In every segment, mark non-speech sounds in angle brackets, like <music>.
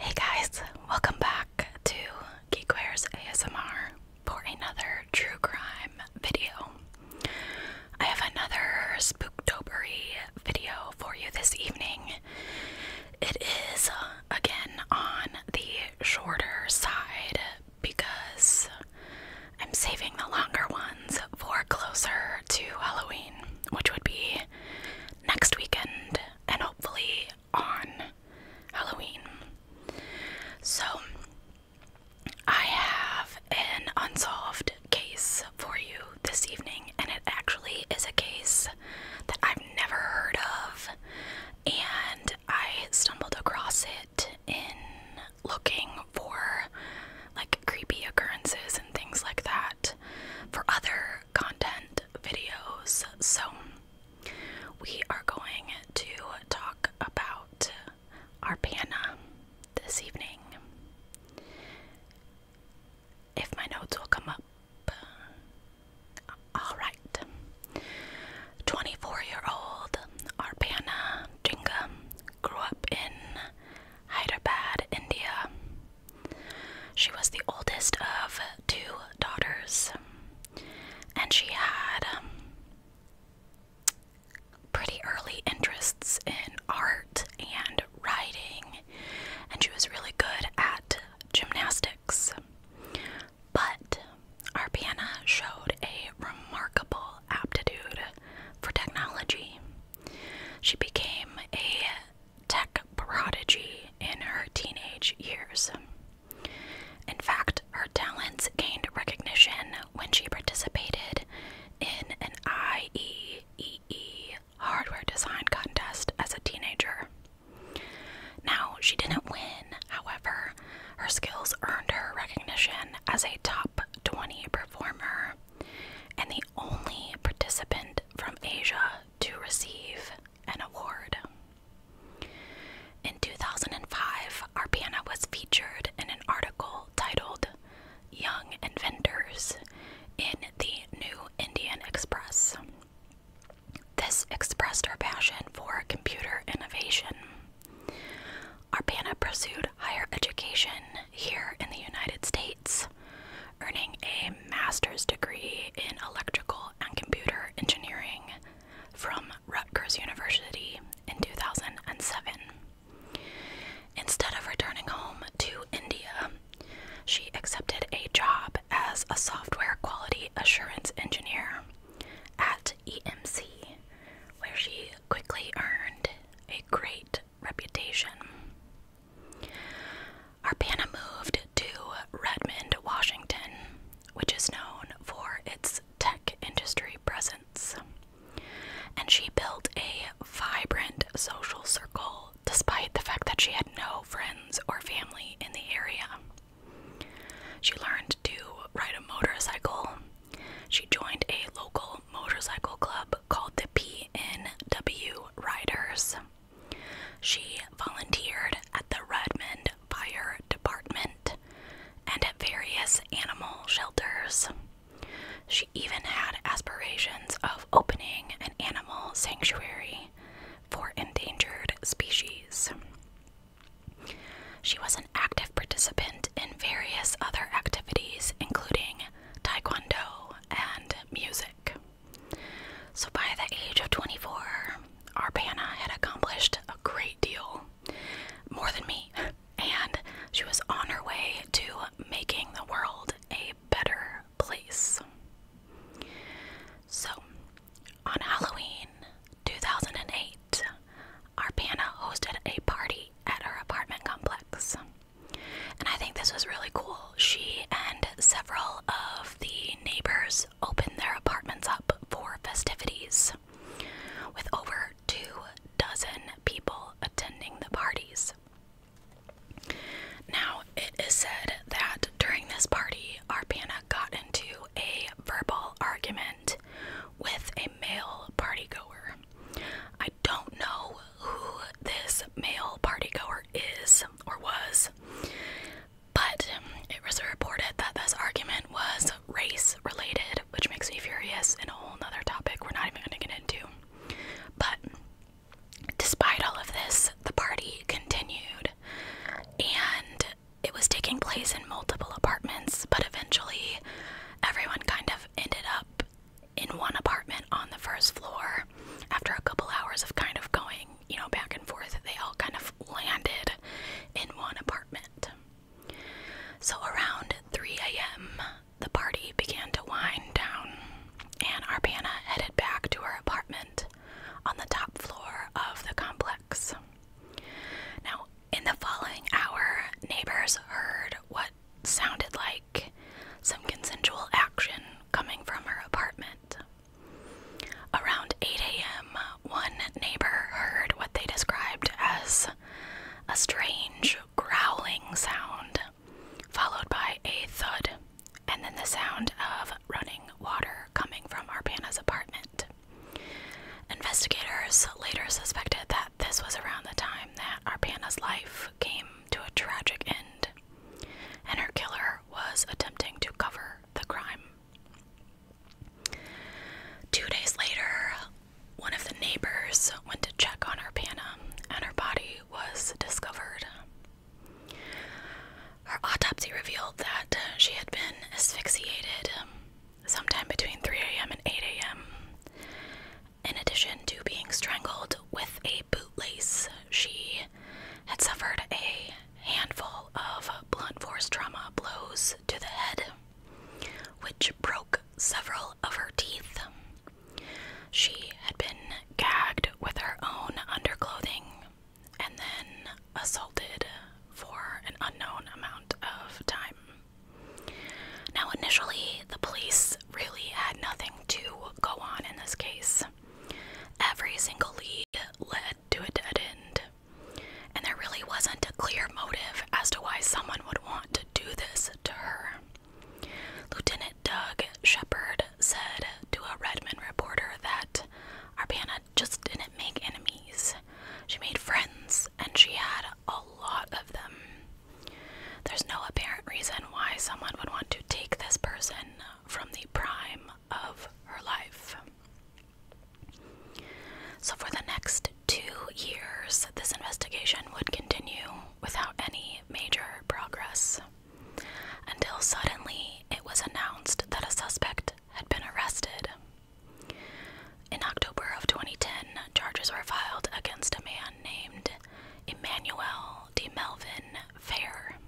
Hey guys, welcome back to Geekware's ASMR for another true crime video. I have another spooktobery video for you this evening. It is uh, again on the shorter side because I'm saving the longer ones for closer to Halloween, which would be next weekend and hopefully on Halloween. So, I have an unsolved case for you this evening, and it actually is a case that I've never heard of, and I stumbled across it in looking for like creepy occurrences and things like that for other content videos. So, we are going to talk about Arpana this evening. If my notes will come up. Alright. 24 year old Arpana Jingam grew up in Hyderabad, India. She was the oldest of two daughters, and she had pretty early interests in art and writing, and she was really good at gymnastics. But Arpiana showed a remarkable aptitude for technology. She became a tech prodigy in her teenage years. In fact, her talents gained recognition when she participated in an IEEE hardware design contest as a teenager. Now, she didn't win, however, her skills earned her recognition as a top 20 performer and the only participant from Asia to receive an award. In 2005, our Arpana was featured in an article titled Young Inventors in the New Indian Express. This expressed our passion for computer innovation. Our Arpana pursued higher education here in the United States, earning a master's degree in electrical and computer engineering from Rutgers University in 2007. Instead of returning home to India, she accepted a job as a software quality assurance engineer at EMC, where she quickly earned a great reputation. Arpana moved to Redmond, Washington, which is known for its tech industry presence. And she built a vibrant social circle despite the fact that she had no friends or family in the area. She learned to ride a motorcycle. She joined a local motorcycle club called the PNW Riders. She volunteered at the Redmond Fire Department and at various animal shelters. She even had aspirations of opening an animal sanctuary for endangered species. She was an active participant in various other activities, including taekwondo and music. So, by the age of 24, Arbana had accomplished a great deal more than me. <laughs> and she was on her way to making the world a better place. So, on Halloween 2008, our Arpana hosted a party at her apartment complex. And I think this was really cool. She and several of the neighbors opened their apartments up for festivities with over two dozen people attending the parties. Now, it is said that during this party, Arpana got into a verbal argument with a male partygoer. I don't know who this male partygoer is or was, but it was reported that this argument was race related, which makes me furious and a whole other topic we're not even gonna get into. But despite all of this, the party continued and it was taking place in multiple apartments, but eventually everyone kind of ended up in one apartment on the first floor. After a couple hours of kind of going, you know, back and forth, they all kind of landed in one apartment. So around 3 a.m., the party began to wind down, and Arpana headed back to her apartment on the top floor of the complex. Now, in the following hour, neighbors heard what sounded like some consensual action coming from her apartment. Around 8 a.m., one neighbor heard what they described as a strange growling sound, followed by a thud, and then the sound of running water coming from Arpana's apartment. Investigators later suspected that this was around the time that Arpana's life came to a tragic end, and her killer was attempting to cover the crime. Two days later, one of the neighbors went to check on her Panna, and her body was discovered. Her autopsy revealed that she had been asphyxiated sometime between 3 a.m. and 8 a.m. In addition to being strangled with a bootlace, she had suffered a handful of blunt force trauma blows to the head which broke several of her teeth. She had been gagged with her own underclothing and then assaulted for an unknown amount of time. Now, initially, the police really had nothing to go on in this case. Every single lead led to a dead end and there really wasn't a clear motive as to why someone would want to do this to her. Lieutenant Doug Shepard said to a Redmond reporter that Arpana just didn't make enemies. She made friends, and she had a lot of them. There's no apparent reason why someone would want to take this person from the prime of her life. So, for the next two years, this investigation would continue without any major progress until suddenly it was announced that a suspect had been arrested. In October of 2010, charges were filed against a man named Emmanuel de Melvin Fair,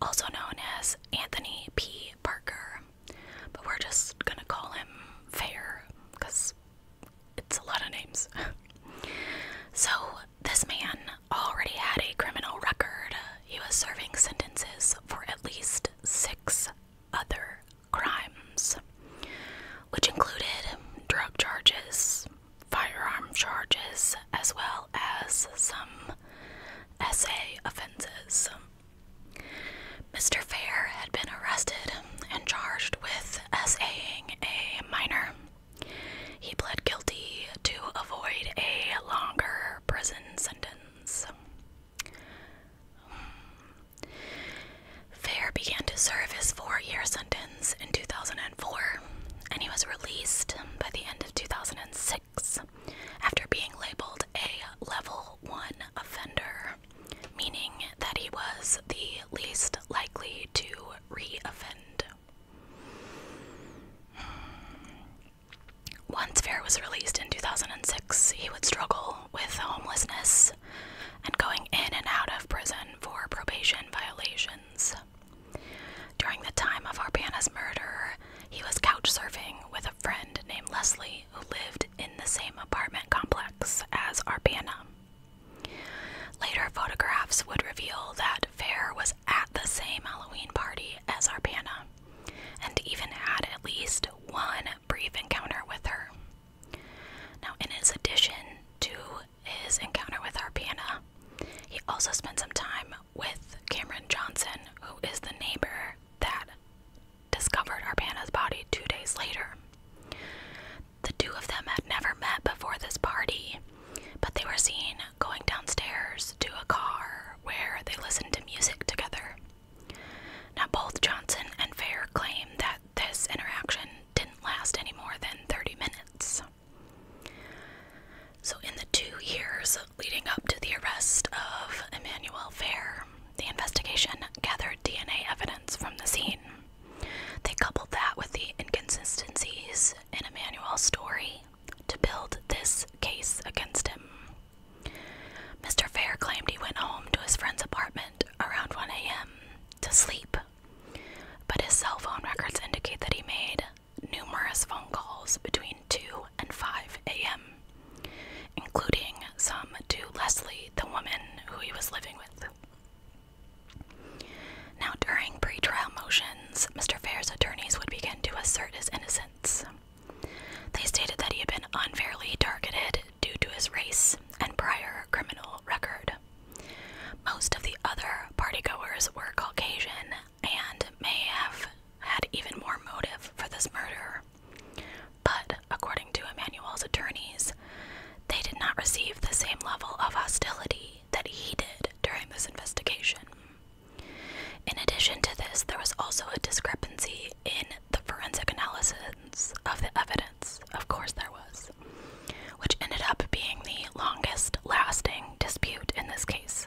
also known as Anthony P. Parker, but we're just gonna call him Fair because it's a lot of names. <laughs> so, this man already had a criminal record. He was serving sentences for at least six other crimes, which included drug charges, firearm charges, as well as some essay offenses. Mr. Fair had been arrested and charged with essaying a minor. He pled guilty to avoid a longer prison sentence. Fair began to serve his four year sentence in 2004, and he was released by the end of 2006 after being labeled a level 1 offender meaning that he was the least likely to re-offend. Once Fair was released in 2006, he would struggle with homelessness and going in and out of prison for probation violations. During the time of Arpana's murder, he was couch surfing with a friend named Leslie who lived in the same apartment complex as Arpana. Later photographs would reveal that Fair was at the same Halloween party as Arpana and even had at least one brief encounter with her. Now, in his addition to his encounter with Arpana, he also spent some time with Cameron Johnson, who is the neighbor that discovered Urbana's body two days later. The two of them had never met before this party, but they were seen going downstairs to a car where they listened to music together. Now, both Johnson and Fair claim that this interaction didn't last any more than 30 minutes. So, in the two years leading up to the arrest of Emmanuel Fair, the investigation gathered DNA evidence from the scene. They coupled that with the inconsistencies in Emmanuel's story to build this case against him. Mr. Fair claimed he went home to his friend's apartment around 1 a.m. to sleep, but his cell phone records indicate that he made numerous phone calls between 2 and 5 a.m including some to Leslie, the woman who he was living with. Now, during pretrial motions, Mr. Fair's attorneys would begin to assert his innocence. They stated that he had been unfairly targeted due to his race and prior criminal record. Most of the other partygoers were Caucasian and may have had even more motive for this murder. But, according to Emmanuel's attorneys, they did not receive the same level of hostility that he did during this investigation. In addition to this, there was also a discrepancy in the forensic analysis of the evidence. Of course, there was, which ended up being the longest lasting dispute in this case.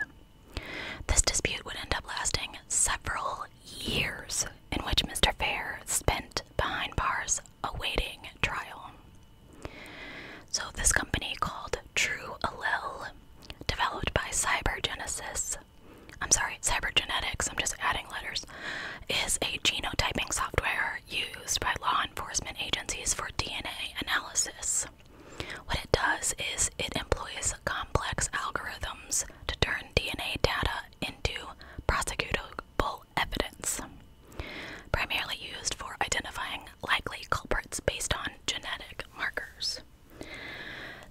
This dispute would end up lasting several years in which Mr. Fair spent behind bars awaiting trial. So, this company called True Allele, developed by Cybergenesis, I'm sorry, Cybergenetics, I'm just adding letters, is a genotyping software used by law enforcement agencies for DNA analysis. What it does is it employs complex algorithms to turn DNA data into prosecutable evidence, primarily used for identifying likely culprits based on genetic markers.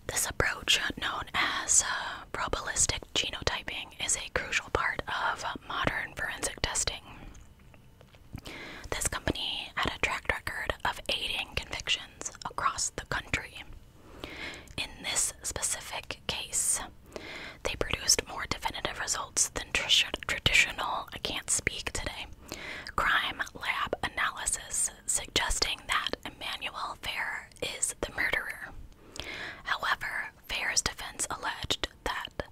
This approach, known as uh, probabilistic genotyping, is a crucial part of modern forensic testing. This company had a track record of aiding convictions across the country, in this specific case, they produced more definitive results than traditional I can't speak today crime lab analysis suggesting that Emmanuel Fair is the murderer. However, Fair's defense alleged that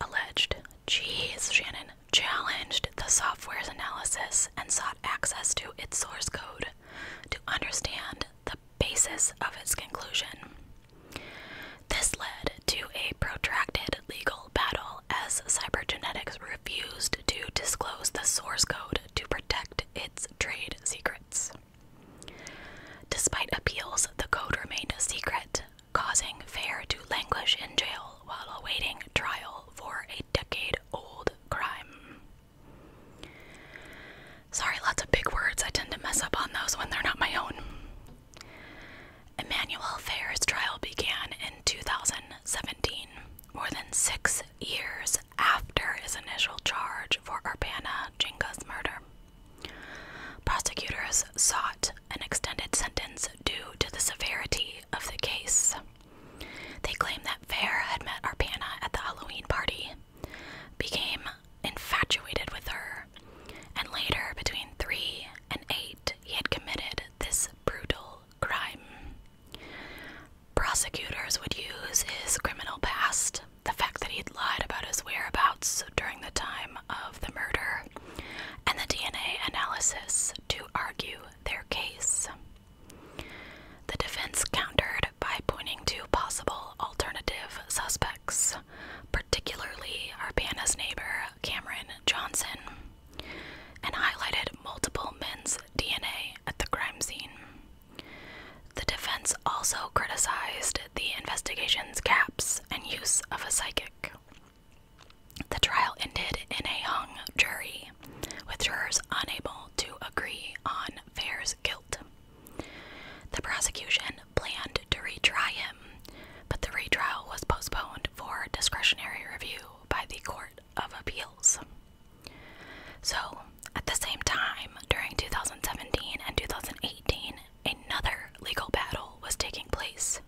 alleged, geez, Shannon challenged the software's analysis and sought access to its source code to understand the basis of its conclusion. This led to a protracted legal battle as cybergenetics refused to disclose the source code to protect its trade secrets. Despite appeals, the code remained a secret, causing Fair to languish in jail while awaiting trial for a decade old crime. Sorry, lots of big words. I tend to mess up on those when they're not my own. Emmanuel Fair's trial began in 2017, more than six years after his initial charge for Urbana Jinka's murder. Prosecutors sought an extended sentence due to the severity of the case. They claimed that Fair had met Arpana at the Halloween party, became infatuated with her, and later, between 3 and 8, he had committed this brutal crime. Prosecutors would use his criminal past, the fact that he'd lied about his whereabouts during the time of the murder, and the DNA analysis to argue their case. The defense countered by pointing to possible alternative suspects, particularly Arpana's neighbor Cameron Johnson, and highlighted multiple men's DNA at the crime scene. The defense also criticized the investigation's gaps and use of a psychic. The trial ended in a hung jury with jurors unable to agree on Fair's guilt. The prosecution planned to retry him, but the retrial was postponed for discretionary review by the Court of Appeals. So, at the same time, during 2017 and 2018, another legal battle was taking place.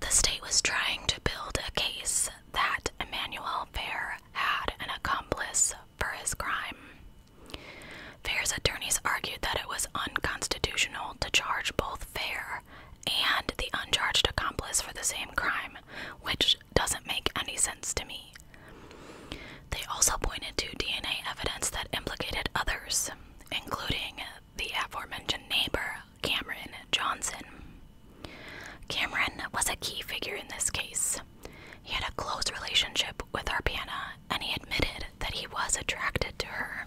The state was trying to build a case that Emmanuel Fair had an accomplice for his crime. Fair's attorneys argued that it was unconstitutional to charge both Fair and the uncharged accomplice for the same crime, which doesn't make any sense to me. They also pointed to DNA evidence that implicated others, including the aforementioned neighbor, Cameron Johnson. Cameron was a key figure in this case. He had a close relationship with Arpana and he admitted that he was attracted to her.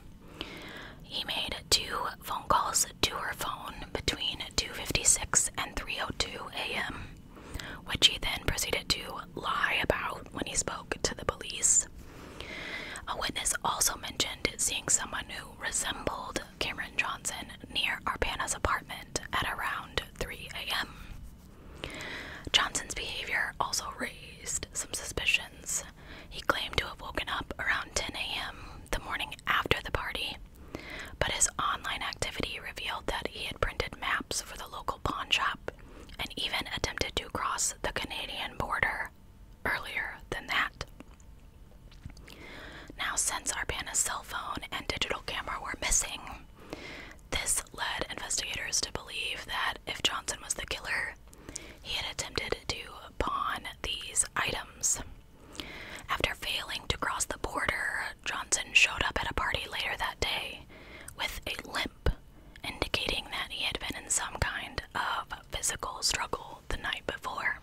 He made two phone calls to her phone between 2:56 and 3:02 a.m., which he then proceeded to lie about when he spoke to the police. A witness also mentioned seeing someone who resembled Cameron Johnson near Arpana's apartment at around 3 a.m. Johnson's behavior also raised some suspicions. He claimed to have woken up around 10 a.m. the morning after the party, but his online activity revealed that he had printed maps for the local pawn shop and even attempted to cross the Canadian border earlier than that. Now, since Arpana's cell phone and digital camera were missing, this led investigators to believe that if Johnson was the killer, he had attempted to pawn these items. After failing to cross the border, Johnson showed up at a party later that day with a limp, indicating that he had been in some kind of physical struggle the night before.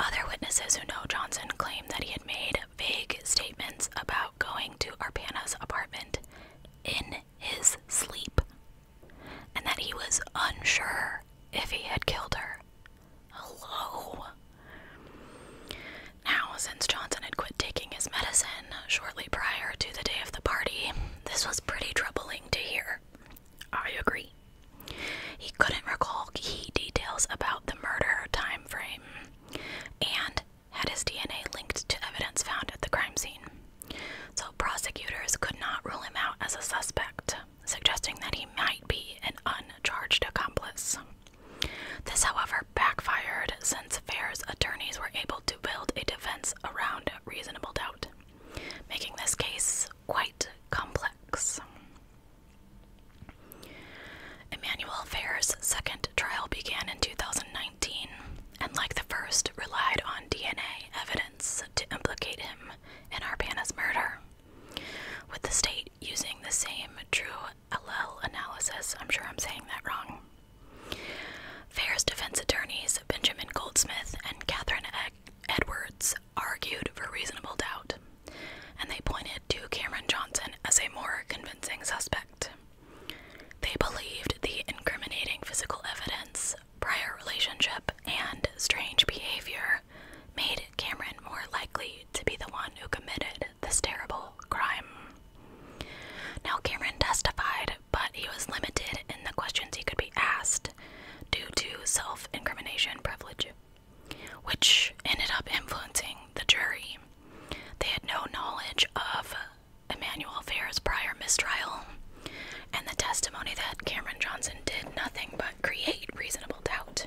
Other witnesses who know Johnson claim that he had made vague statements about going to Arpana's apartment in his sleep and that he was unsure if he had killed her. Hello. Now, since Johnson had quit taking his medicine shortly prior to the day of the party, this was pretty troubling to hear. I agree. He couldn't recall key details about the murder time frame and had his DNA linked to evidence found at the crime scene. So prosecutors could not rule him out as a suspect, suggesting that he might be an uncharged accomplice. This, however, backfired since Fair's attorneys were able to build a defense around reasonable doubt, making this case quite complex. Emmanuel Fair's second trial began in 2019 and, like the first, relied on DNA evidence to implicate him in Arpana's murder. With the state using the same true LL analysis, I'm sure I'm saying that wrong. Fair's defense attorneys Benjamin Goldsmith and Katherine Edwards argued for reasonable doubt, and they pointed to Cameron Johnson as a more convincing suspect. They believed the incriminating physical evidence, prior relationship, and strange behavior made Cameron more likely to be the one who committed this terrible crime. Now, Cameron testified, but he was limited in the questions he could be asked due to self incrimination privilege which ended up influencing the jury. They had no knowledge of Emmanuel Fair's prior mistrial and the testimony that Cameron Johnson did nothing but create reasonable doubt,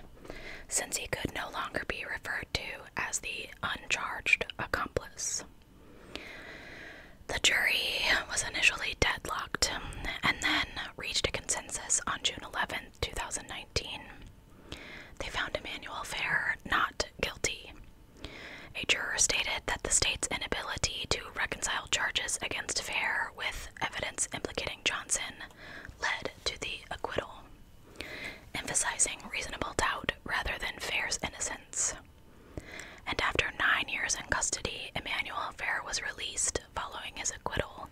since he could no longer be referred to as the uncharged accomplice. The jury was initially deadlocked and then reached a consensus on June 11, 11th, 2019, they found Emmanuel Fair not guilty. A juror stated that the state's inability to reconcile charges against Fair with evidence implicating Johnson led to the acquittal, emphasizing reasonable doubt rather than Fair's innocence. And after nine years in custody, Emmanuel Fair was released following his acquittal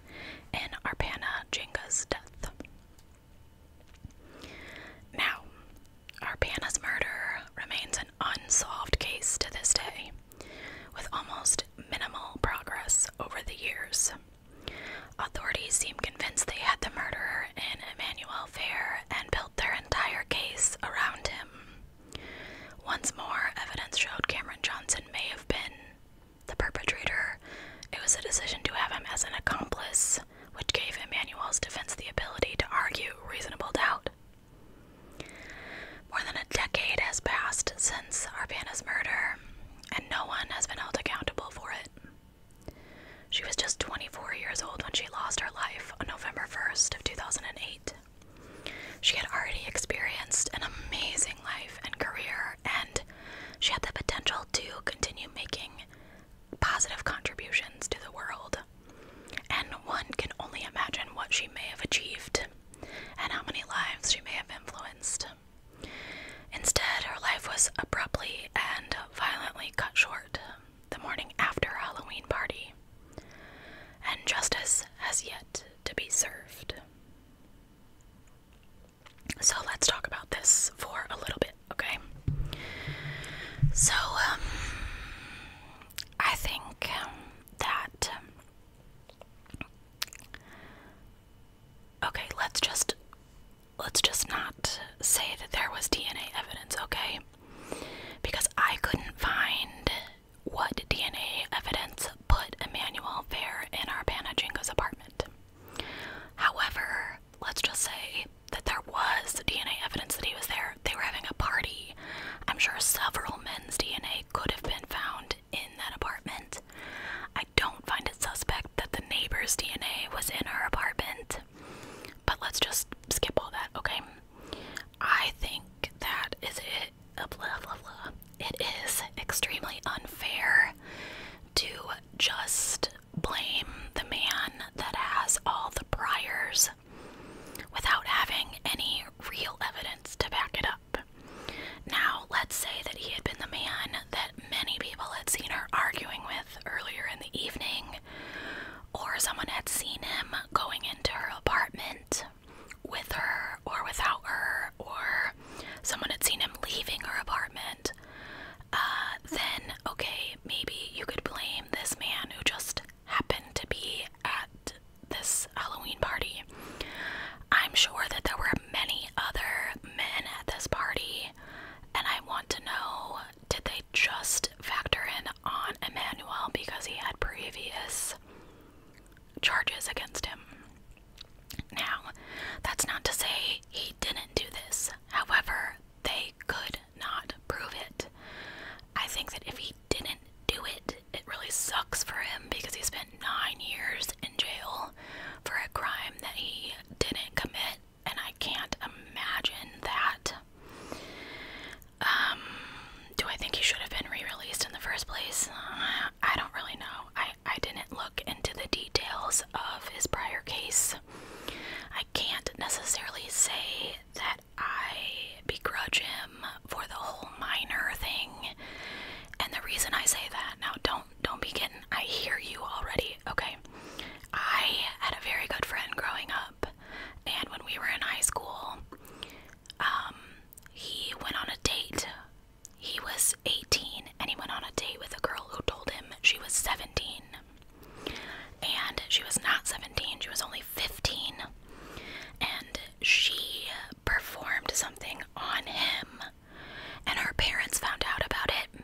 in Arpana Jenga's death. Now, Arpana's murder remains an unsolved case to this day, with almost minimal progress over the years. Authorities seem convinced they had the murderer in Emmanuel Fair and built their entire case around him. Once more, evidence showed Cameron Johnson may have been the perpetrator, it was a decision to have him as an accomplice, which gave Emmanuel's defense the ability to argue reasonable doubt. More than a decade has passed since Arpana's murder, and no one has been held accountable for it. She was just 24 years old when she lost her life on November 1st of 2008. She had already experienced an amazing life and career, and she had the potential to continue making positive contributions to the world. And one can only imagine what she may have achieved and how many lives she may have influenced. Instead, her life was abruptly and violently cut short the morning after Halloween party, and justice has yet to be served. So let's talk about this for a little bit, okay? So, um, I think um, that. okay, let's just. Let's just not say that there was DNA evidence, okay? Because I couldn't find what DNA evidence put Emmanuel Fair in our Panajinko's apartment. However, let's just say that there was DNA evidence that he was there. They were having a party. I'm sure several men's DNA could have been found in that apartment. I don't find it suspect that the neighbor's DNA was in our apartment. But let's just skip all that, okay? I think that is it. It is extremely unfair to just blame the man that has all the priors without having any real evidence to back it up. Now, let's say that he had been the man that many people had seen her arguing with earlier in the evening, or someone had seen him going into her apartment with her or without her, or someone had seen him leaving her apartment, uh, then okay, maybe you could blame this man who just happened to be at this Halloween party. I'm sure that there were many other men at this party, and I want to know did they just factor in on Emmanuel because he had previous charges against him. Now, that's not to say he didn't do this. However, they could not prove it. I think that if he didn't do it, it really sucks for him because he spent nine years in jail for a crime that he didn't commit, and I can't imagine that. Um, do I think he should have been re released in the first place? Uh, I don't really know. I, I didn't look into the details of his prior case. I can't necessarily say that I begrudge him for the whole minor thing. And the reason I say that now don't don't begin. I hear you already. Okay. I had a very good friend growing up and when we were in high school, um, he went on a date he was 18 and he went on a date with a girl who told him she was 17. And she was not 17, she was only 15. And she performed something on him. And her parents found out about it.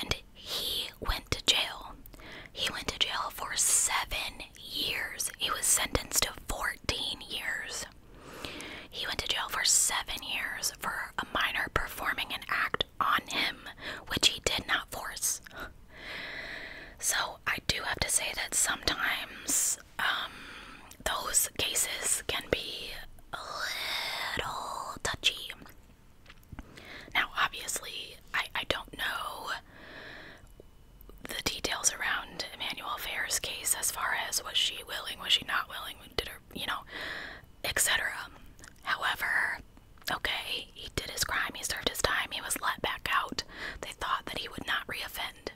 And he went to jail. He went to jail for seven years. He was sentenced to 14 years. He went to jail for seven years for a minor performing an act on him, which he did not force. So I do have to say that sometimes um, those cases can be a little touchy. Now, obviously, I, I don't know the details around Emmanuel Fair's case as far as was she willing, was she not willing, did her, you know, etc. However, okay, he did his crime, he served his time, he was let back out. They thought that he would not reoffend.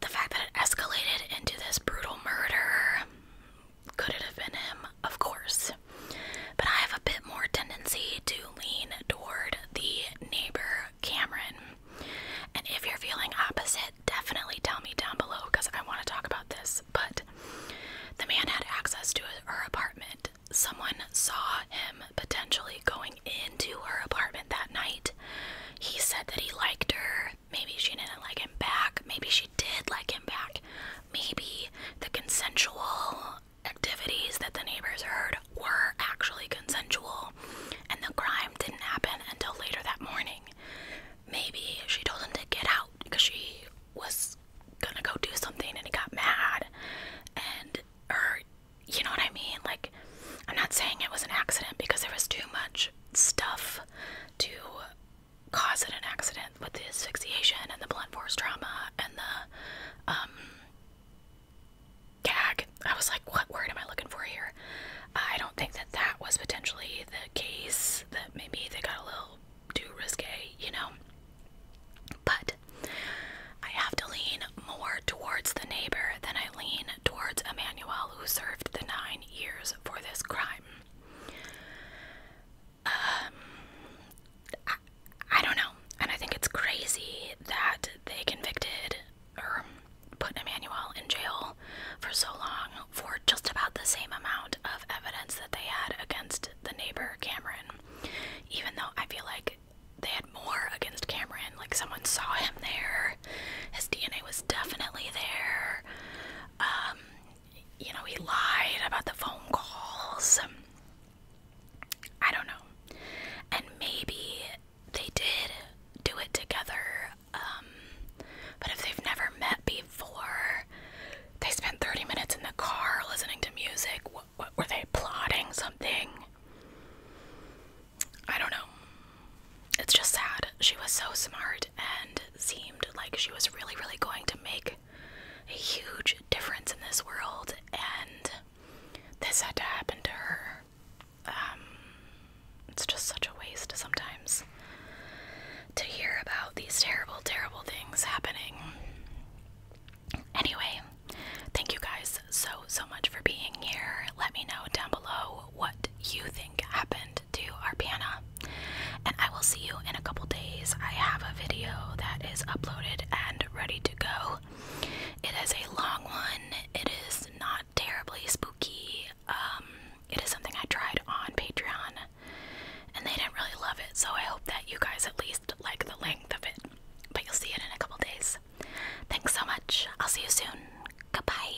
The fact that it escalated into this brutal murder, could it have been him? Of course. But I have a bit more tendency to lean toward the neighbor Cameron. And if you're feeling opposite, definitely tell me down below because I want to talk about this. But the man had access to her apartment. Someone saw him potentially going into her apartment that night. He said that he liked her. Maybe she didn't like him back. Maybe she did like him back. Maybe the consensual activities that the neighbors heard were actually consensual and the crime didn't happen until later that morning. Maybe she told him to get out because she was gonna go do something and he got mad and or you know what I mean? Like I'm not saying it was an accident because there was too much stuff to cause it an accident with the asphyxiation and the blunt force trauma and the um, gag. I was like, what word am I looking for here? I don't think that that was potentially the case, that maybe they got a little too risque, you know? But I have to lean more towards the neighbor than I lean towards Emmanuel, who served the nine years for this crime. Um, I don't know. And I think it's crazy that they convicted or put Emmanuel in jail for so long for just about the same amount of evidence that they had against the neighbor Cameron. Even though I feel like they had more against Cameron, like someone saw him there, his DNA was definitely there. Um, you know, he lied about the phone calls. I don't know. And maybe they did do it together, um, but if they've never met before, they spent 30 minutes in the car listening to music. what were they plotting something? I don't know. It's just sad. She was so smart and seemed like she was really, really going to make a huge difference in this world, and this had to happen to her. Um, it's just such a waste sometimes to hear about these terrible, terrible things happening. Anyway, thank you guys so, so much for being here. Let me know down below what you think happened to our piano. And I will see you in a couple days. I have a video that is uploaded and ready to go. It is a long one, it is not terribly spooky. Um, it is something I tried on Patreon and they didn't really love it, so I hope that you guys at least like the length of it. But you'll see it in a couple days. Thanks so much. I'll see you soon. Goodbye.